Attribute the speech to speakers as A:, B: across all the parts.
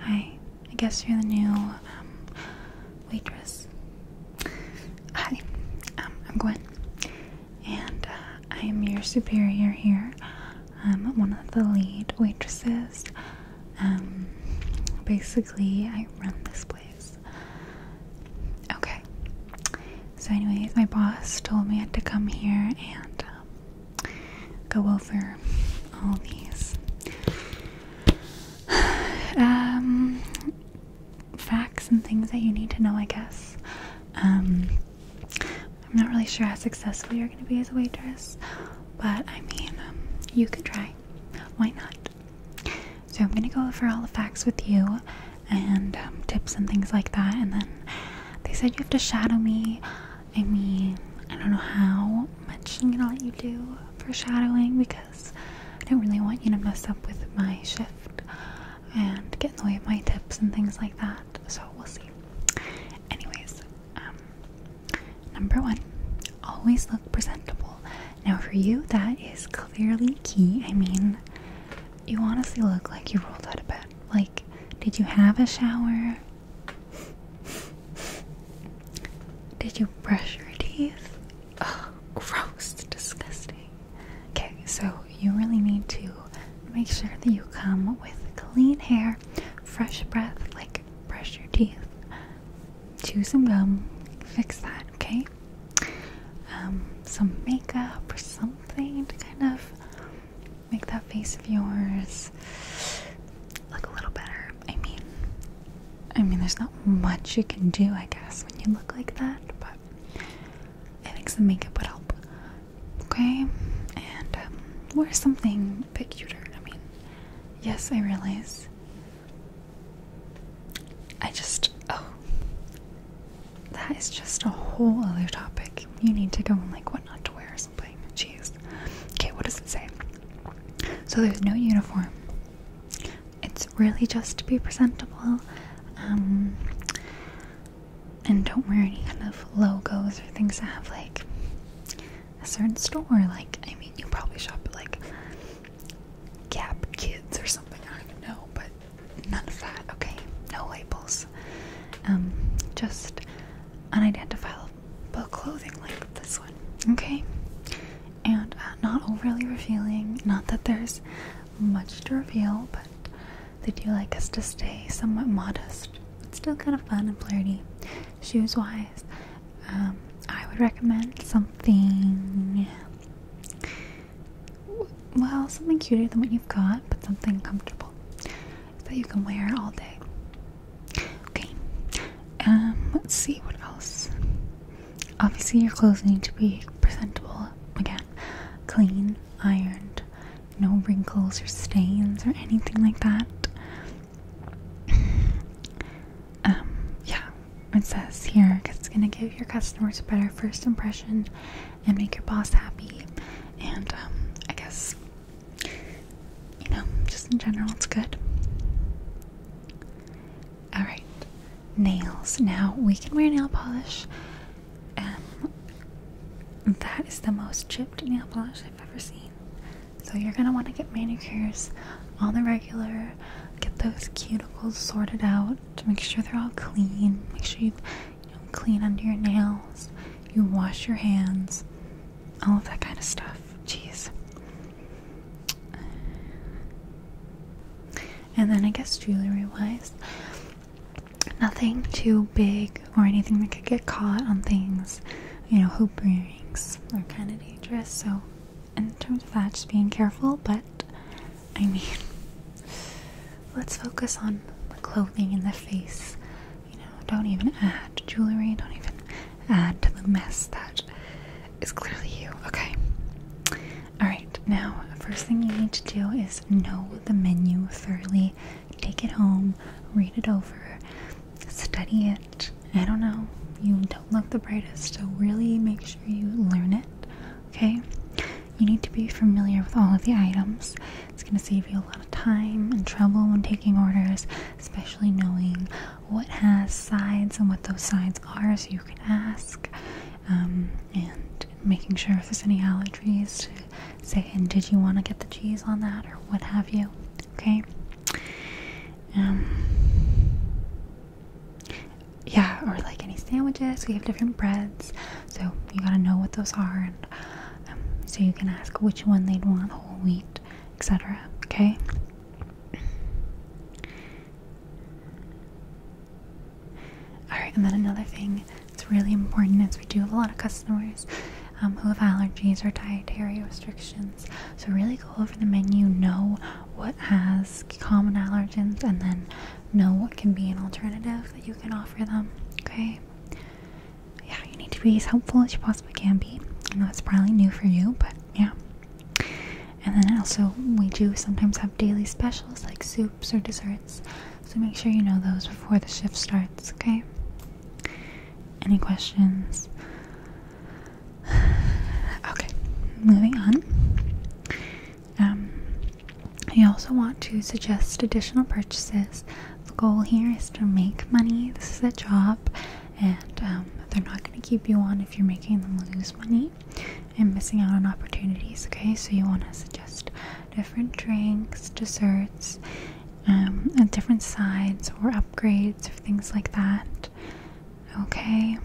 A: Hi, I guess you're the new um, waitress. Hi, um, I'm Gwen, and uh, I am your superior here. I'm one of the lead waitresses. Um, basically, I run this place. Okay. So, anyways, my boss told me I had to come here and um, go over all these um, facts and things that you need to know, I guess. Um, I'm not really sure how successful you're going to be as a waitress, but I mean, um, you could try. Why not? So, I'm going to go over all the facts with you and tips and things like that, and then they said you have to shadow me I mean, I don't know how much I'm gonna let you do for shadowing because I don't really want you to mess up with my shift and get in the way of my tips and things like that. So we'll see. Anyways, um, number one, always look presentable. Now, for you, that is clearly key. I mean, you honestly look like you rolled out of bed. Like, did you have a shower? Did you brush your teeth? Oh, gross, disgusting. Okay, so you really need to make sure that you come with clean hair, fresh breath, like brush your teeth, chew some gum, fix that, okay? Um, some makeup or something to kind of make that face of yours look a little better. I mean, I mean, there's not much you can do, I guess, when you look like that, but I think some makeup would help. Okay, and um, wear something a bit cuter. I mean, yes, I realize. I just, oh, that is just a whole other topic. You need to go and like what not to wear or something. Okay, what does it say? So there's no uniform. It's really just to be presentable. Um, and don't wear any kind of logos or things that have like a certain store. Like, I mean, you probably shop at like Gap Kids or something. I don't know, but none of that. Okay, no labels. Um, just unidentifiable clothing like this one, okay? And uh, not overly revealing, not that there's much to reveal, but they do like us to stay somewhat modest. It's still kind of fun and flirty. Shoes wise, um, I would recommend something. Well, something cuter than what you've got, but something comfortable that you can wear all day. Okay. Um, let's see what else. Obviously, your clothes need to be presentable again, clean, ironed, no wrinkles or stains or anything like that. Um, yeah, it says here it's gonna give your customers a better first impression and make your boss happy. And um, I guess you know, just in general, it's good. Alright, nails. Now we can wear nail polish. and um, that is the most chipped nail polish I've ever seen. So you're gonna want to get manicures on the regular, get those cuticles sorted out to make sure they're all clean. Make sure you you clean under your nails, you wash your hands, all of that kind of stuff. Jeez. And then I guess jewelry wise, nothing too big or anything that could get caught on things. You know, hoop earrings are kind of dangerous. So, in terms of that, just being careful. But I mean, Let's focus on the clothing and the face. You know, don't even add jewelry, don't even add to the mess that is clearly you, okay? Alright, now, first thing you need to do is know the menu thoroughly. Take it home, read it over, study it. I don't know, you don't look the brightest, so really make sure you learn it, okay? You need to be familiar with all of the items. It's going to save you a lot of time and trouble when taking orders, especially knowing what has sides and what those sides are, so you can ask. Um, and making sure if there's any allergies to say, and did you want to get the cheese on that or what have you? Okay. Um, yeah, or like any sandwiches, we have different breads, so you gotta know what those are um, so you can ask which one they'd want, whole wheat, etc. Okay. Alright, and then another thing its really important is we do have a lot of customers um, who have allergies or dietary restrictions. So, really go over the menu, know what has common allergens, and then know what can be an alternative that you can offer them. Okay? yeah, you need to be as helpful as you possibly can be. I know it's probably new for you, but yeah. And then also, we do sometimes have daily specials like soups or desserts, so make sure you know those before the shift starts, okay? Any questions? okay, moving on. Um, I also want to suggest additional purchases. The goal here is to make money. This is a job, and um, they're not going to keep you on if you're making them lose money and missing out on opportunities. Okay, so you want to suggest different drinks, desserts, um, and different sides or upgrades or things like that. Okay.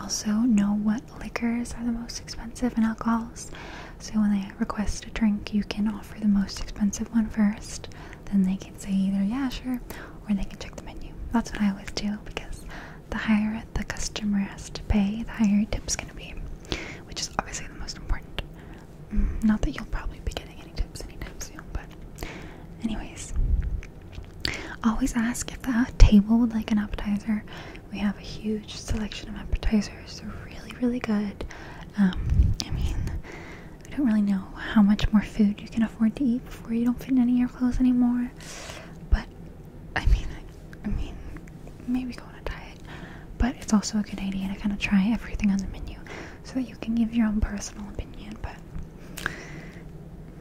A: Also, know what liquors are the most expensive in alcohols. So when they request a drink, you can offer the most expensive one first. Then they can say either, yeah, sure, or they can check the menu. That's what I always do because the higher the customer has to pay, the higher your tip's gonna be, which is obviously the most important. Mm, not that you'll probably be getting any tips anytime soon, but, anyways, always ask if the table would like an appetizer. We have a huge selection of appetizers. They're really, really good. Um, I mean, I don't really know how much more food you can afford to eat before you don't fit in any of your clothes anymore. But I mean, I mean, maybe go on a diet. But it's also a good idea to kind of try everything on the menu so that you can give your own personal opinion. But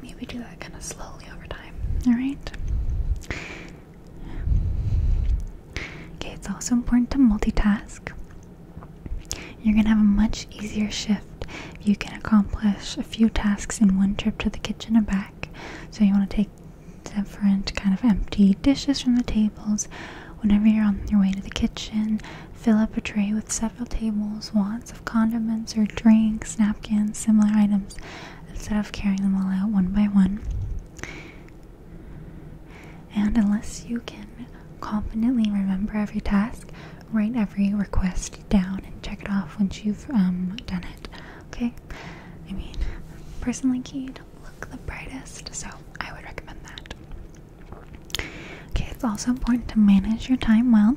A: maybe do that kind of slowly over time. All right. Okay, it's also important to multitask. You're going to have a much easier shift if you can accomplish a few tasks in one trip to the kitchen and back. So, you want to take different kind of empty dishes from the tables whenever you're on your way to the kitchen. Fill up a tray with several tables' wants of condiments or drinks, napkins, similar items, instead of carrying them all out one by one. And unless you can confidently remember every task, write every request down and check it off once you've um, done it. Okay? I mean, personally, Key, don't look the brightest, so I would recommend that. Okay, it's also important to manage your time well.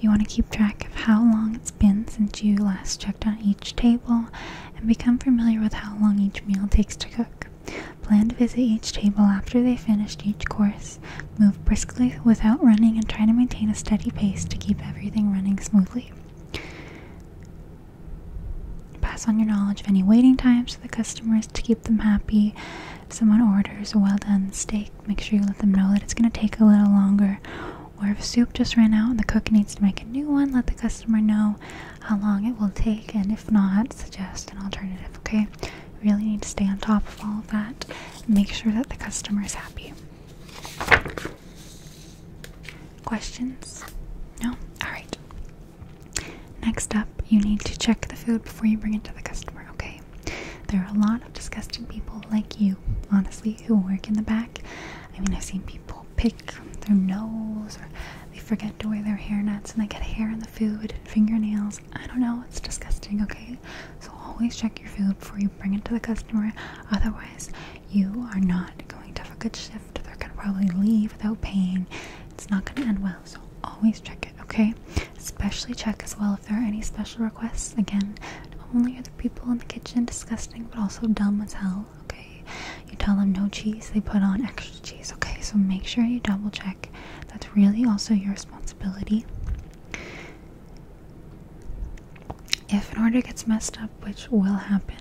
A: You want to keep track of how long it's been since you last checked on each table and become familiar with how long each meal takes to cook. Plan to visit each table after they finished each course. Move briskly without running and try to maintain a steady pace to keep everything running smoothly. Pass on your knowledge of any waiting times to the customers to keep them happy. If someone orders a well done steak, make sure you let them know that it's going to take a little longer or if soup just ran out and the cook needs to make a new one, let the customer know how long it will take, and if not, suggest an alternative, okay? really need to stay on top of all of that make sure that the customer is happy. Questions? No? Alright. Next up, you need to check the food before you bring it to the customer, okay? There are a lot of disgusting people like you, honestly, who work in the back. I mean, I've seen people pick their nose or they forget to wear their hairnets and they get hair in the food, fingernails. I don't know, it's disgusting, okay? So always check your food before you bring it to the customer. Otherwise, you are not going to have a good shift. They're going to probably leave without paying. It's not going to end well. So always check it, okay? Especially check as well if there are any special requests. Again, not only are the people in the kitchen disgusting, but also dumb as hell okay? You tell them no cheese, they put on extra cheese, okay? So make sure you double check. That's really also your responsibility. If an order gets messed up, which will happen,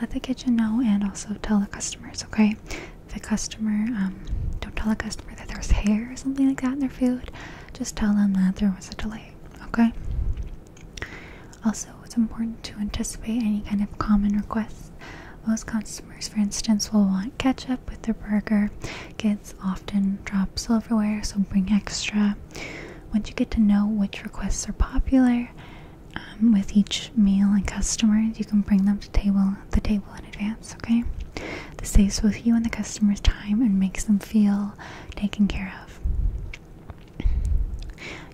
A: let the kitchen know and also tell the customers, okay? If the customer, um, don't tell the customer that there's hair or something like that in their food. Just tell them that there was a delay, okay? Also, it's important to anticipate any kind of common requests. Most customers, for instance, will want ketchup with their burger. Kids often drop silverware, so bring extra. Once you get to know which requests are popular um, with each meal and customers, you can bring them to table the table in advance. Okay, this saves both you and the customer's time and makes them feel taken care of.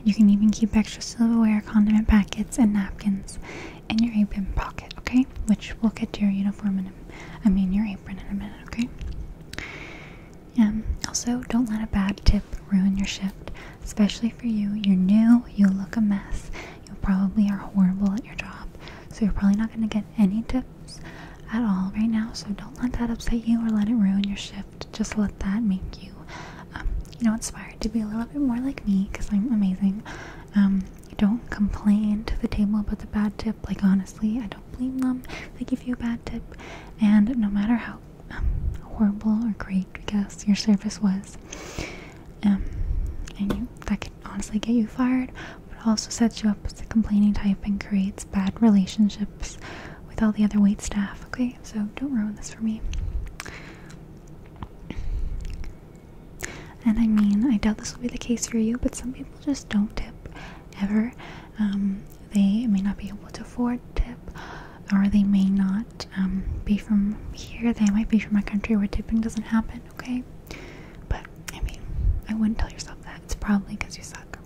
A: You can even keep extra silverware, condiment packets, and napkins in your apron pocket, okay? Which we'll get to your uniform and I mean your apron in a minute, okay? Um, also, don't let a bad tip ruin your shift, especially for you. You're new, you look a mess, you probably are horrible at your job, so you're probably not going to get any tips at all right now, so don't let that upset you or let it ruin your shift. Just let that make you, um, you know, inspired to be a little bit more like me because I'm amazing. Um, don't complain to the table about the bad tip. Like honestly, I don't blame them. They give you a bad tip, and no matter how um, horrible or great, guess your service was, um, and that could honestly get you fired, but also sets you up as a complaining type and creates bad relationships with all the other wait staff, okay? So don't ruin this for me. And I mean, I doubt this will be the case for you, but some people just don't tip ever. Um, they may not be able to afford tip, or they may not um, be from here. They might be from a country where tipping doesn't happen, okay? But I mean, I wouldn't tell yourself that. It's probably because you suck.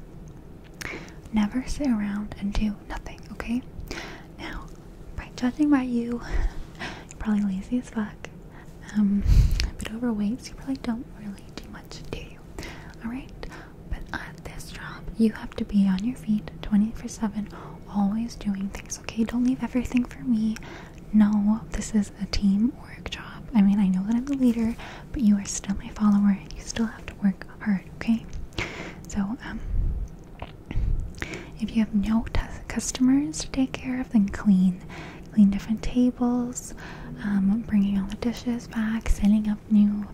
A: Never sit around and do nothing, okay? Now, by judging by you, you're probably lazy as fuck. Um, a bit overweight, so you probably don't really do much, do you? Alright? But at this job, you have to be on your feet 24 7, always doing things, okay? Don't leave everything for me. No, this is a team work job. I mean, I know that I'm the leader, but you are still my follower. You still have to work hard, okay? So, um, if you have no customers to take care of, then clean. Clean different tables, um, bringing all the dishes back, setting up new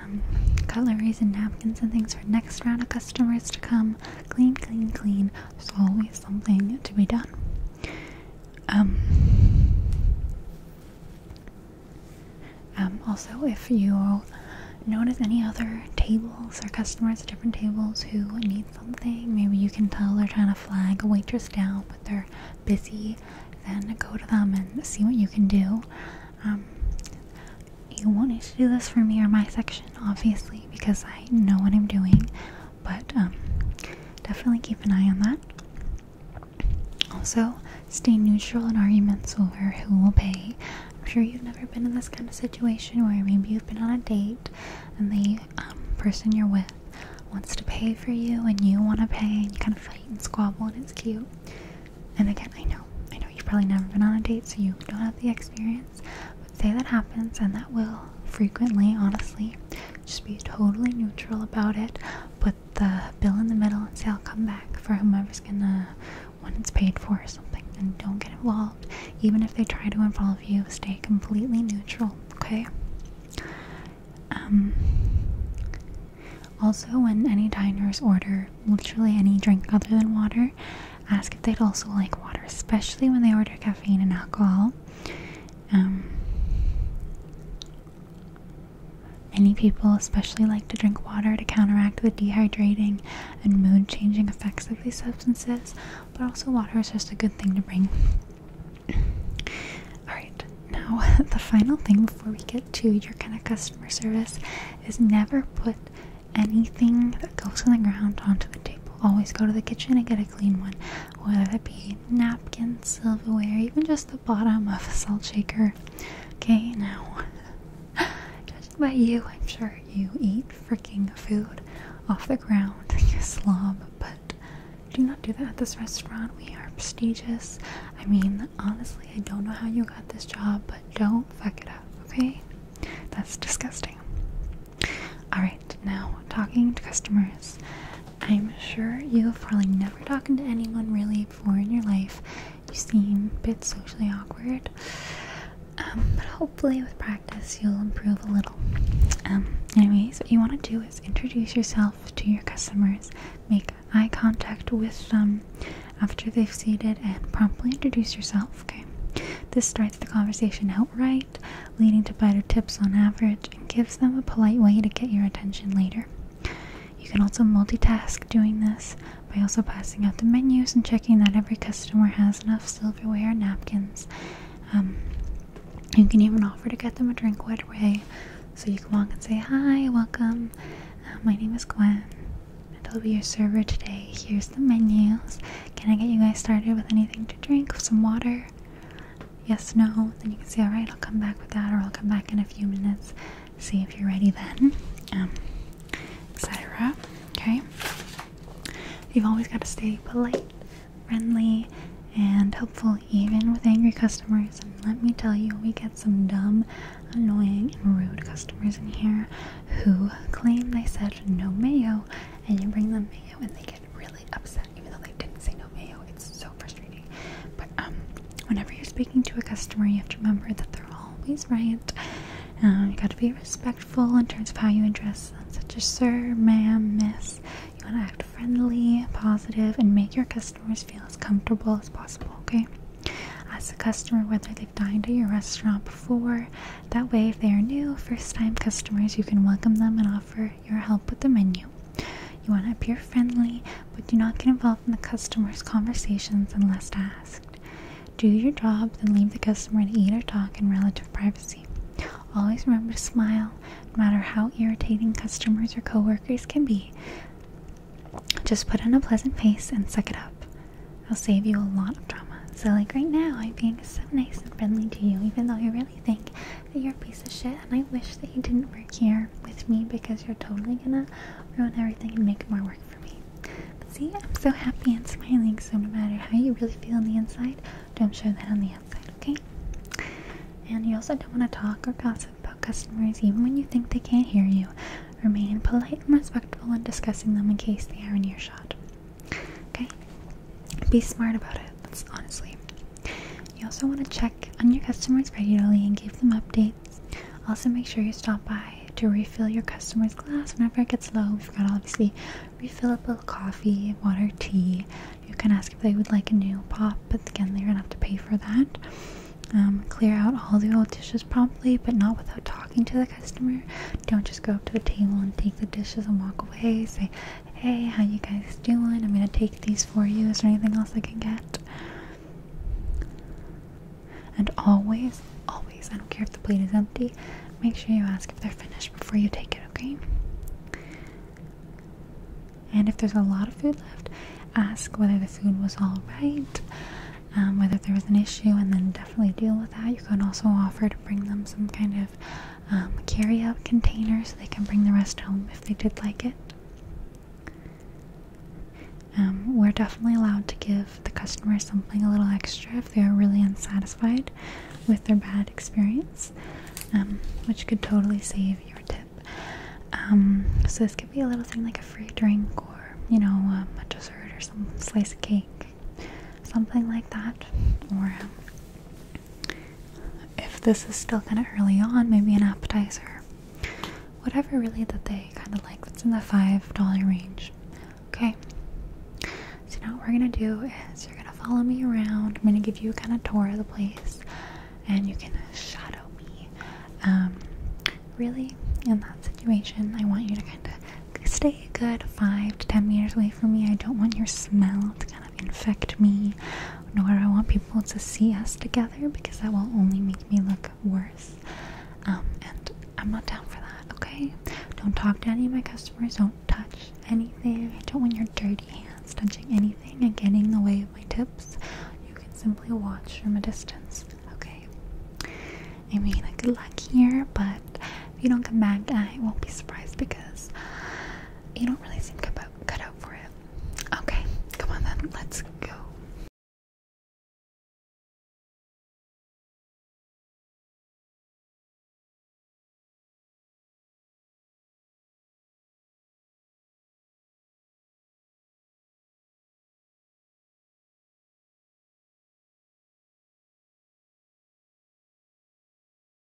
A: um, cutlery and napkins and things for next round of customers to come. Clean, clean, clean. There's always something to be done. Um, also, if you notice any other tables or customers at different tables who need something, maybe you can tell they're trying to flag a waitress down, but they're busy, then go to them and see what you can do. Um, you won't need to do this for me or my section, obviously, because I know what I'm doing, but um, definitely keep an eye on that. Also, stay neutral in arguments over who will pay. I'm sure you've never been in this kind of situation where maybe you've been on a date and the um, person you're with wants to pay for you and you want to pay and you kind of fight and squabble and it's cute. And again, I know, I know you've probably never been on a date so you don't have the experience, but say that happens and that will frequently, honestly. Just be totally neutral about it, but the bill in the middle and say I'll come back for whomever's gonna when it's paid for or something and don't get involved even if they try to involve you stay completely neutral okay um also when any diners order literally any drink other than water ask if they'd also like water especially when they order caffeine and alcohol um Many people especially like to drink water to counteract the dehydrating and mood changing effects of these substances, but also water is just a good thing to bring. Alright, now the final thing before we get to your kind of customer service is never put anything that goes on the ground onto the table. Always go to the kitchen and get a clean one whether that be napkins, silverware, even just the bottom of a salt shaker. Okay, now, judging by you, I'm sure you eat freaking food off the ground, you slob, but do not do that at this restaurant. We are prestigious. I mean, honestly, I don't know how you got this job, but don't fuck it up, okay? That's disgusting. Alright, now talking to customers. I'm sure you, have probably never talking to anyone really before in your life, you seem a bit socially awkward. Um, but hopefully, with practice, you'll improve a little. Um, anyways, what you want to do is introduce yourself to your customers, make eye contact with them after they've seated, and promptly introduce yourself. Okay. This starts the conversation outright, leading to better tips on average, and gives them a polite way to get your attention later. You can also multitask doing this by also passing out the menus and checking that every customer has enough silverware and napkins. Um, you can even offer to get them a drink right away. So you can walk and say, Hi, welcome. Uh, my name is Gwen, and I'll be your server today. Here's the menus. Can I get you guys started with anything to drink? Some water? yes, no, then you can say, alright, I'll come back with that, or I'll come back in a few minutes, see if you're ready then, um, etc. Okay? You've always got to stay polite, friendly, and helpful, even with angry customers. And let me tell you, we get some dumb, annoying, rude customers in here who claim they said no mayo, and you bring them mayo when they get really upset, even though they didn't say no mayo. It's so frustrating. But um, whenever you're speaking to a customer, you have to remember that they're always right. Um, you got to be respectful in terms of how you address them, such as sir, ma'am, miss. You want to act friendly, positive, and make your customers feel as comfortable as possible. Okay. As a customer, whether they've dined at your restaurant before, that way if they are new, first-time customers, you can welcome them and offer your help with the menu. You want to appear friendly, but do not get involved in the customer's conversations unless asked. Do your job, then leave the customer to eat or talk in relative privacy. Always remember to smile, no matter how irritating customers or coworkers can be. Just put on a pleasant face and suck it up. It'll save you a lot of drama. So, like right now, I'm being so nice and friendly to you, even though you're really really think that you're a piece of shit and I wish that you didn't work here with me because you're totally gonna ruin everything and make more work for me. But see, I'm so happy and smiling, so no matter how you really feel on the inside, don't show that on the outside, okay? And you also don't want to talk or gossip about customers even when you think they can't hear you. Remain polite and respectful when discussing them in case they are in earshot. Okay? Be smart about it. That's honestly you also want to check on your customers regularly and give them updates. Also, make sure you stop by to refill your customer's glass whenever it gets low. We've got obviously refill up refillable coffee, water, tea. You can ask if they would like a new pop, but again, they're gonna have to pay for that. Um, clear out all the old dishes promptly, but not without talking to the customer. Don't just go up to the table and take the dishes and walk away. Say, hey, how you guys doing? I'm gonna take these for you. Is there anything else I can get? And always, always, I don't care if the plate is empty, make sure you ask if they're finished before you take it, okay? And if there's a lot of food left, ask whether the food was alright, um, whether there was an issue, and then definitely deal with that. You can also offer to bring them some kind of. Um, carry out containers; so they can bring the rest home if they did like it. Um, we're definitely allowed to give the customer something a little extra if they are really unsatisfied with their bad experience, um, which could totally save your tip. so this could be a little thing like a free drink or you know a dessert or some slice of cake, something like that, or if this is still kind of early on, maybe an appetizer. Whatever really that they kind of like that's in the $5 range. Okay. So now what we're going to do is you're going to follow me around. I'm going to give you a kind of tour of the place and you can shadow me. Um, really, in that situation, I want you to kind of stay a good 5 to 10 meters away from me. I don't want your smell to kind of infect me, nor I want people to see us together because that will only make me look worse. Um, and I'm not down for that, okay? Don't talk to any of my customers, don't touch anything. don't want your dirty hands touching anything and getting in the way of my tips. You can simply watch from a distance, okay? I mean, good luck here, but if you don't come back, I won't be surprised because you don't really seem committed cut out for it. Okay, come on then, let's go.